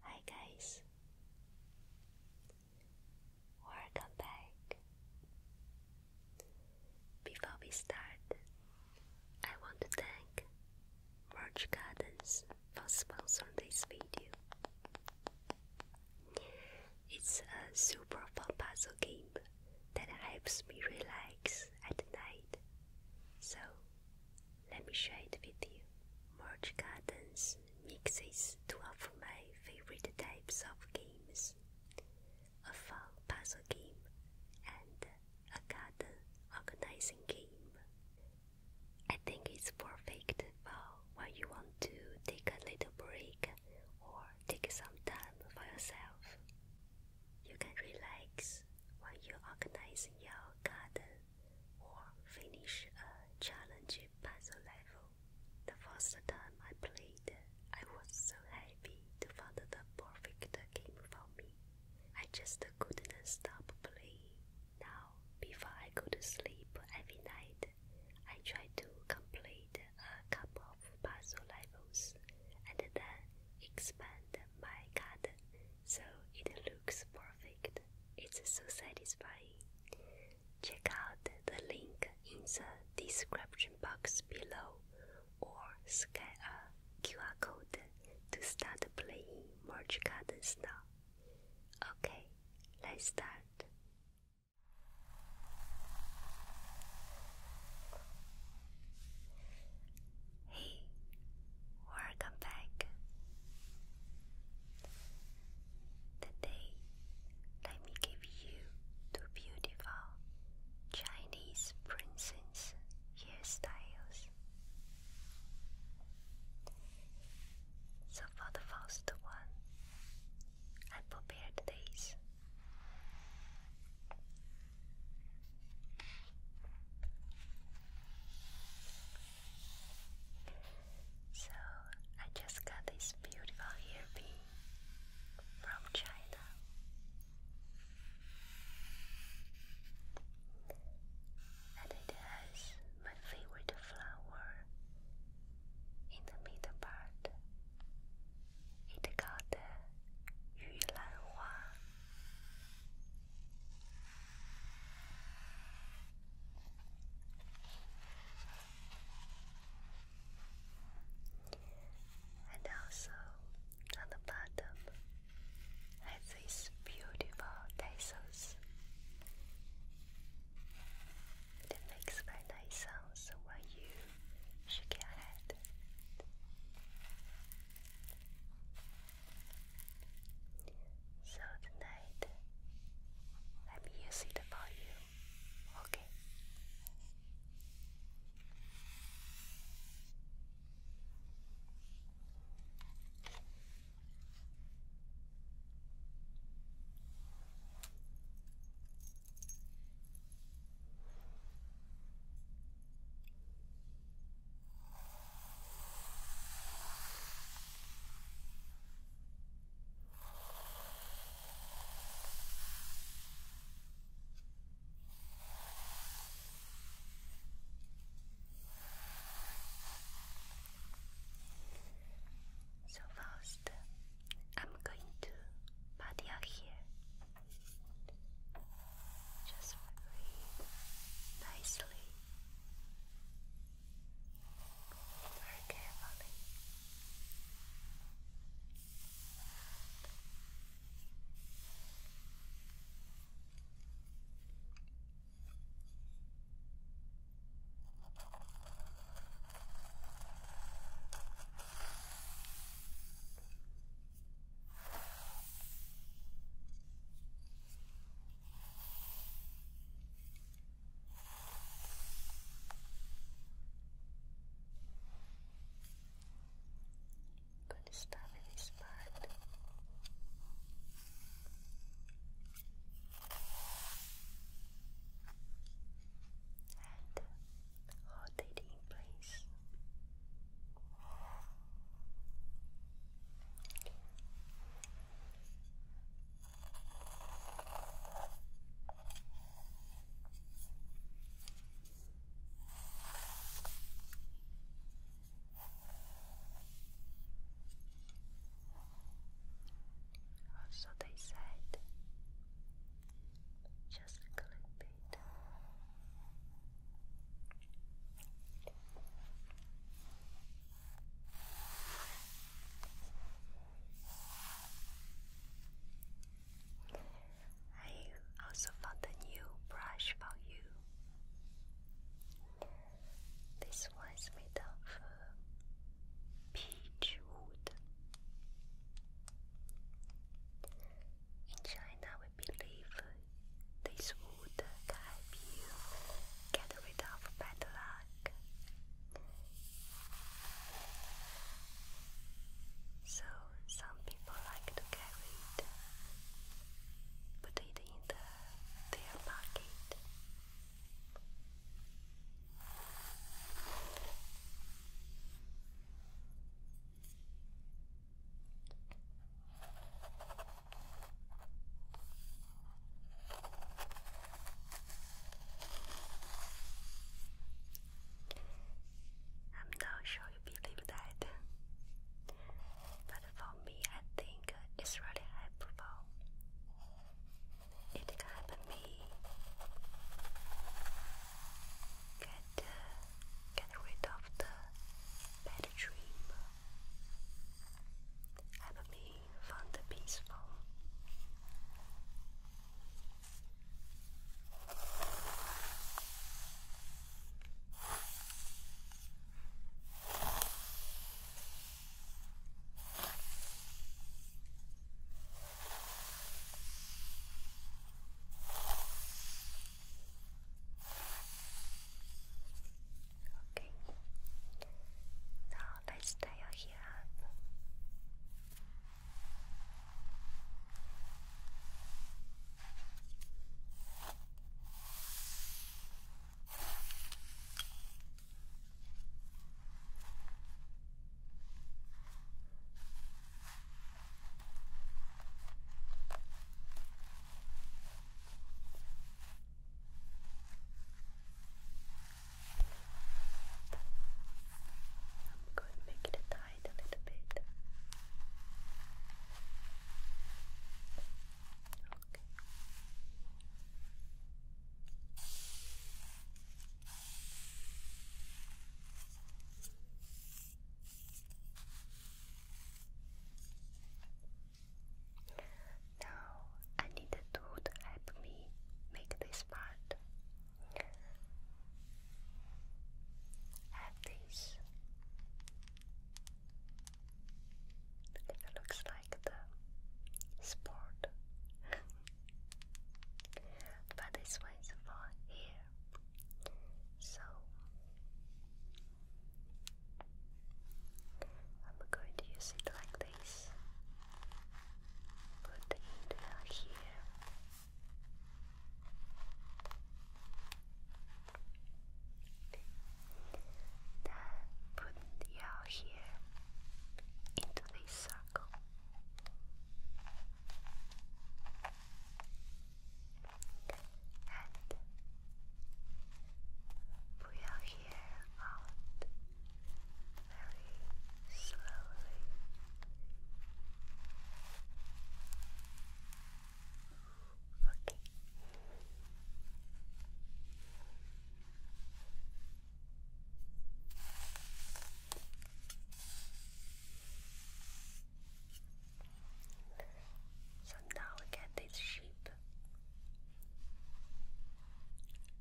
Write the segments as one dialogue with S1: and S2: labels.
S1: Hi guys, welcome back. Before we start, I want to thank Merch Gardens for sponsoring this video. It's a super fun puzzle game that helps me relax at night. So let me share it with you. Merge Gardens mixes two of my favorite types of games a fun puzzle game and a garden organizing game. I think it's perfect for when you want to take a little break or take some time for yourself. You can relax when you're your garden or finish a challenge puzzle level. The first time I played, I was so happy to find the perfect game for me. I just couldn't stop playing. Now, before I go to sleep every night, I try to complete a couple of puzzle levels and then expand my garden so it looks perfect. It's so satisfying. Check out the link in the description box below or scan a QR code to start playing Merge Gardens now. Okay, let's start. Hey, welcome back. Today, let me give you two beautiful Chinese princess hairstyles. So, for the first one, I prepared these. So, I just got this beautiful earpiece from China. And it has my favorite flower in the middle part. It called Yulan Hua. And also on the bottom has these beautiful tassels. It makes very nice sounds when you shake your head. So tonight, let me use it about you, okay? So first, I'm going to pat your just very nicely, very carefully. Gonna start with this part. And hold it in place. Also, they said just clip it I also found a new brush for you. This one is made of uh, peach wood. In China, we believe this would help you get rid of bad luck. So some people like to carry it, put it in their pocket. I'm not sure you believe that, but for me, I think it's really helpful. It can help me get uh, get rid of the bad dream. Help me find the peaceful. Okay. Now let's tie your hair up. I'm going to make it tight a little bit. Okay. Now I need a tool to help me make this part. I this. It looks like the sport, but this one is for here. So I'm going to use it like this. Put the here. Then put the here into this circle and we are here very slowly. Okay. So now we get this sheep.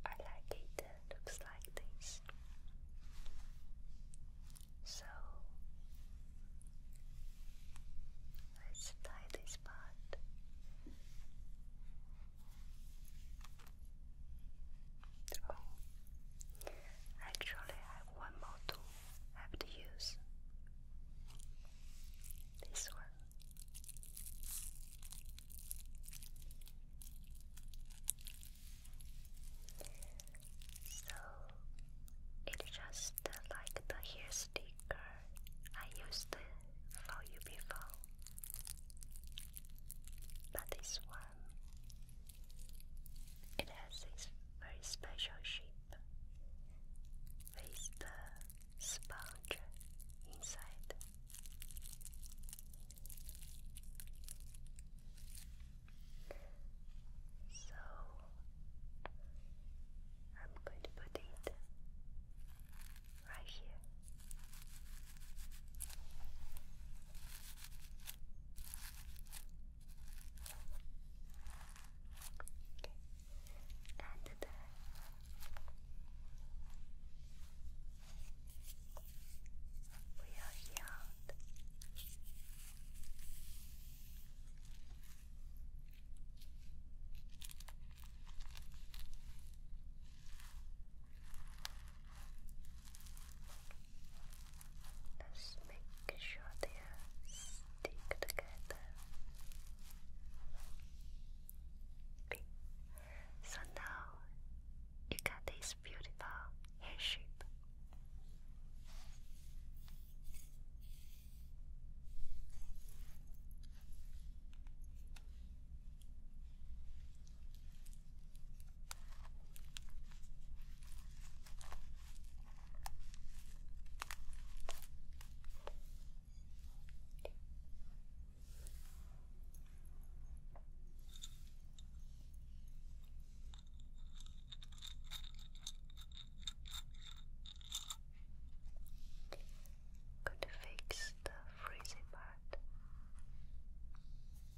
S1: I like it, looks like this. So let's tie this part. Oh, Actually, I have one more tool have to use. This one. So it's just like the hair sticker I used for you before, but this one it has this very special shape with the sponge inside. So I'm going to put it right here and there. We are healed. Let's make sure they are stick together. So now you got this beautiful hair shape. Could fix the freezing part.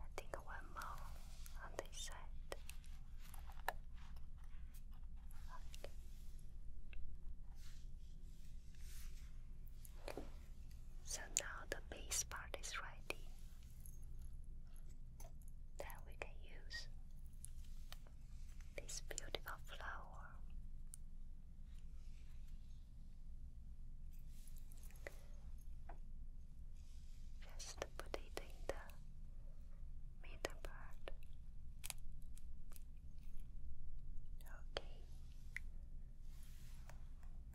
S1: I think one more on this side. So now the base part is ready. Then we can use this beautiful flower just put it in the middle part. Okay.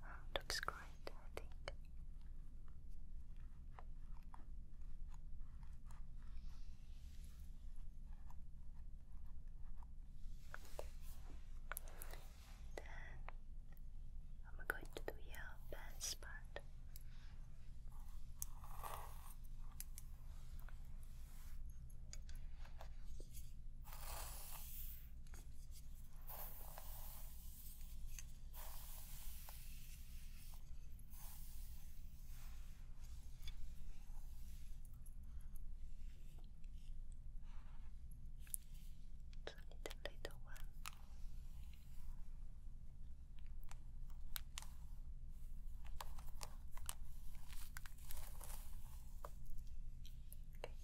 S1: Oh, great, I think. Then I'm going to do your pants part. It's only the little one. Okay. Okay.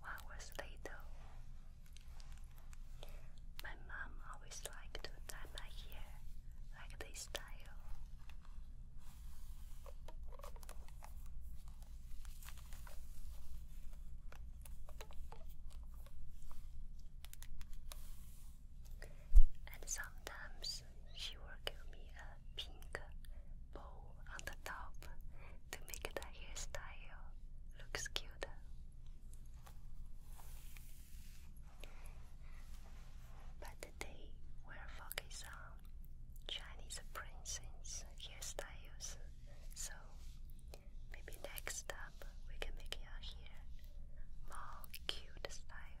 S1: One was later. My mom always liked to dye my hair like this style. And sometimes she will give me a pink bow on the top to make the hairstyle looks cute. But today we'll focus Chinese princess hairstyles. So maybe next up we can make your hair more cute style.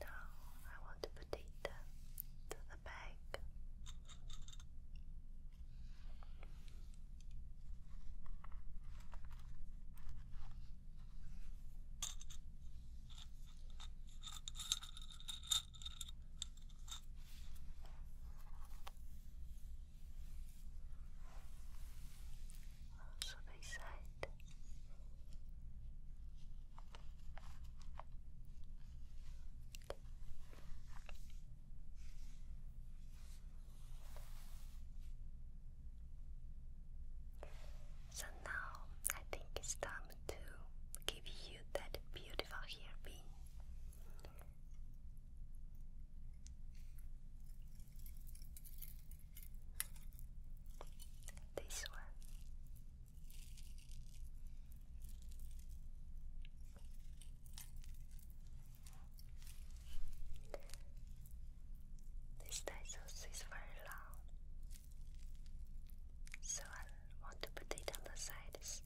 S1: Now I want to put it to the back. Also this so now I think it's time to give you that beautiful hairpin. This one. This dinosaur is very long. So i want to put it on the sides.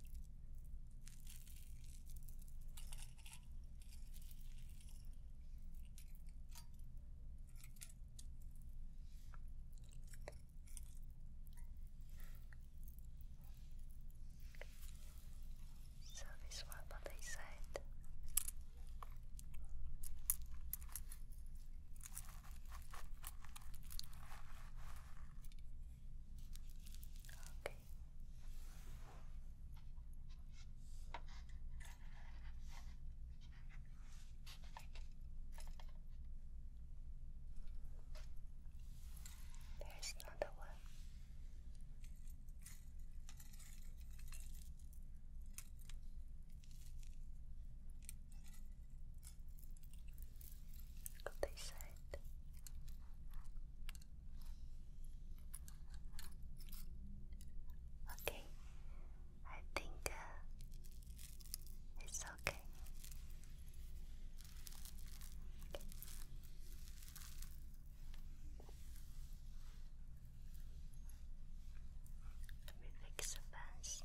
S1: So this one on this side. Okay. There's another one. Go this side. Okay, I think uh, it's okay. Let me fix the fence.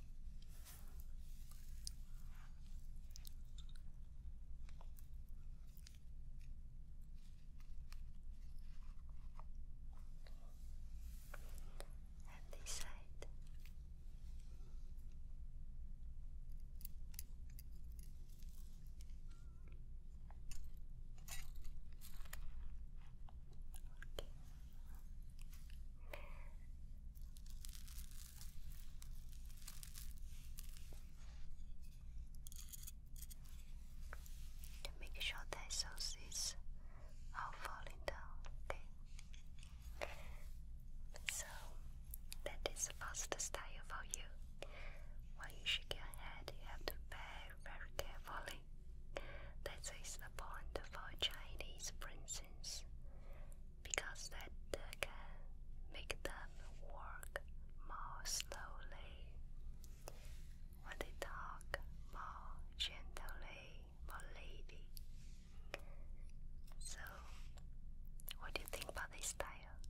S1: And this side. Okay. To make sure that sauces are falling down, okay? So that is the first style for you. When you shake your head, you have to very, very carefully. That is the point for Chinese princes, because that can make them work more slowly. When they talk more gently, more lady. So, what do you think about this style?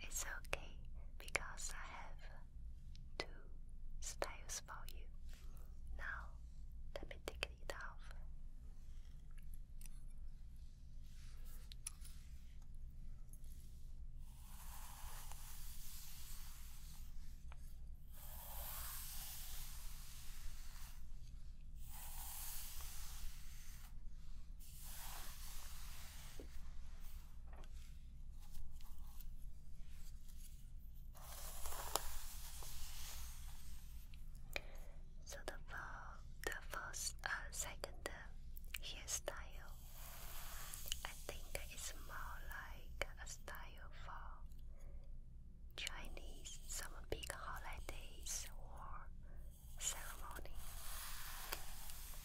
S1: It's okay because I have two styles for you. Now, let me take it off. So the for the first uh, second uh, hairstyle, I think it's more like a style for Chinese some big holidays or ceremony.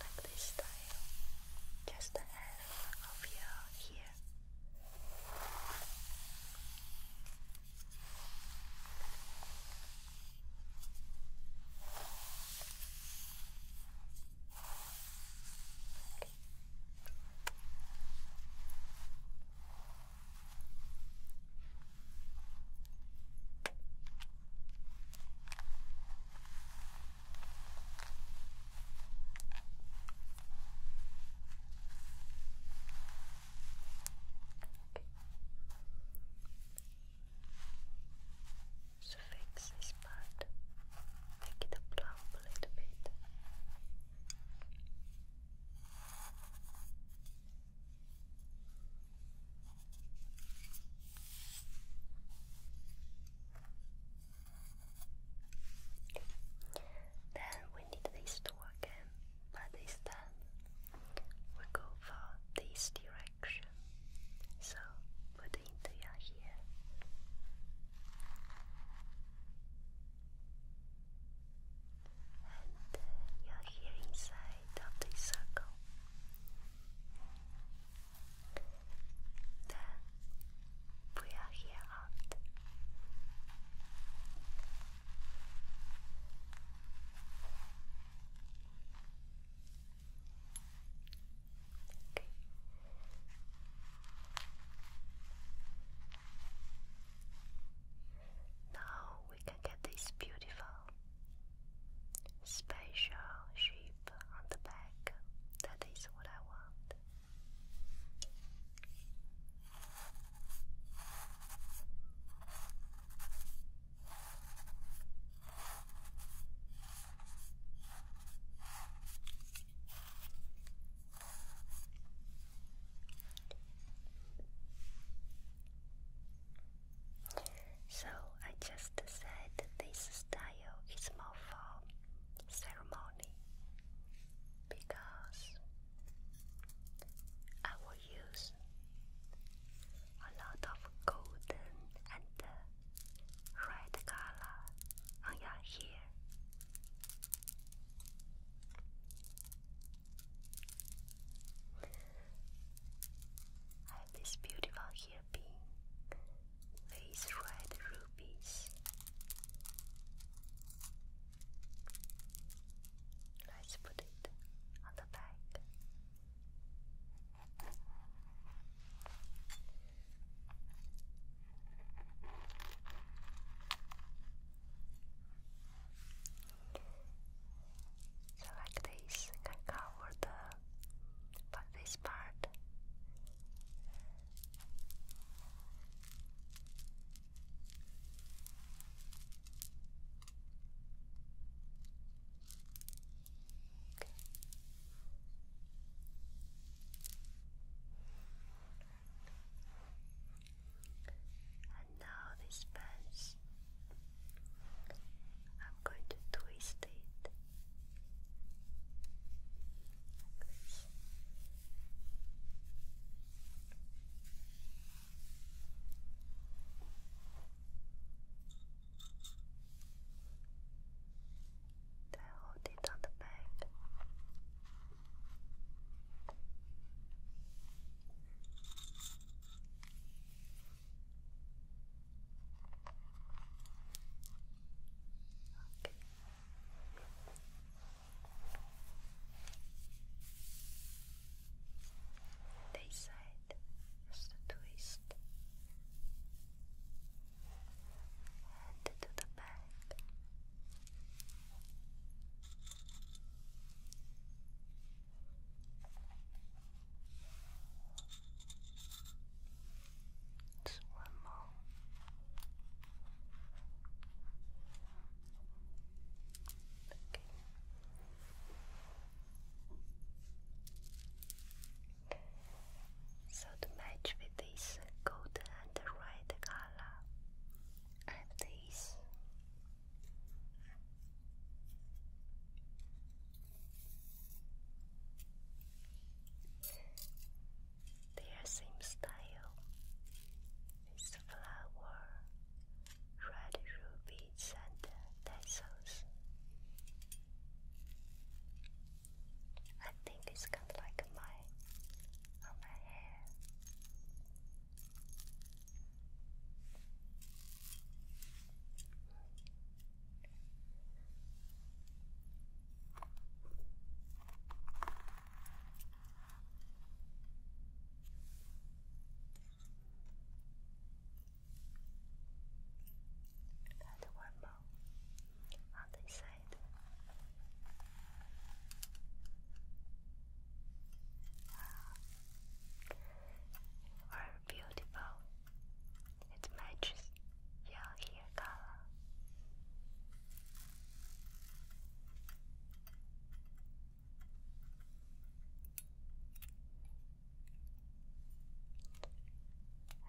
S1: like this style, just the end of your ear. So fix this part, make it plump a little bit. Then we need this to again, but this we go for this direction. So put into your ear. And you're here inside of this circle. Then we are here out. Okay. Now we can get this beautiful special sheep on the back. That is what I want. So I just said this style is more for ceremony because I will use a lot of golden and red color on your hair. I have this beautiful hairpin with red rubies. Let's put it on the back. So like this, can cover the but this part now this pass, I'm going to twist it hold it on the back. Okay. This side the twist and to the back. Just one more. Okay. So to match with this golden and red color, I this their same style is flower, red rubies, and tassels. I think it's kind like my my hair. And one more on this side. You are beautiful. It matches your hair color.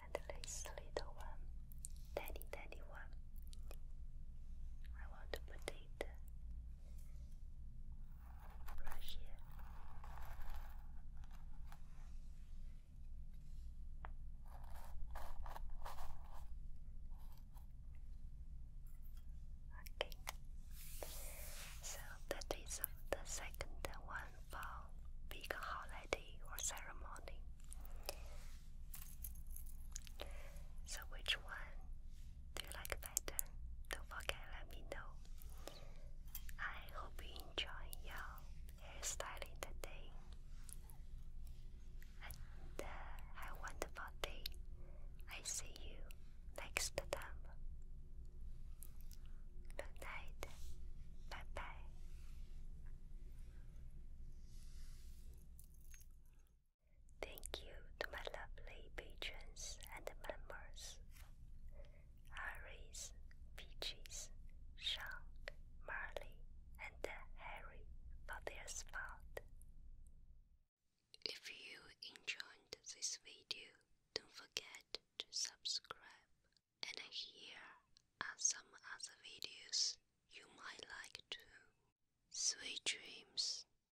S1: And this little one, tiny, tiny one, I want to put it Okay, so that is the second one for big holiday or ceremony. So, which one do you like better? Don't forget, let me know. I hope you enjoy your hairstyling today. And uh, have a wonderful day. I see you next time. Good night. Bye bye. Thank you to my lovely patrons and members Iris, Peaches, Sean, Marley, and Harry for their support. If you enjoyed this video, don't forget to subscribe. And here are some other videos you might like too. Sweet dreams.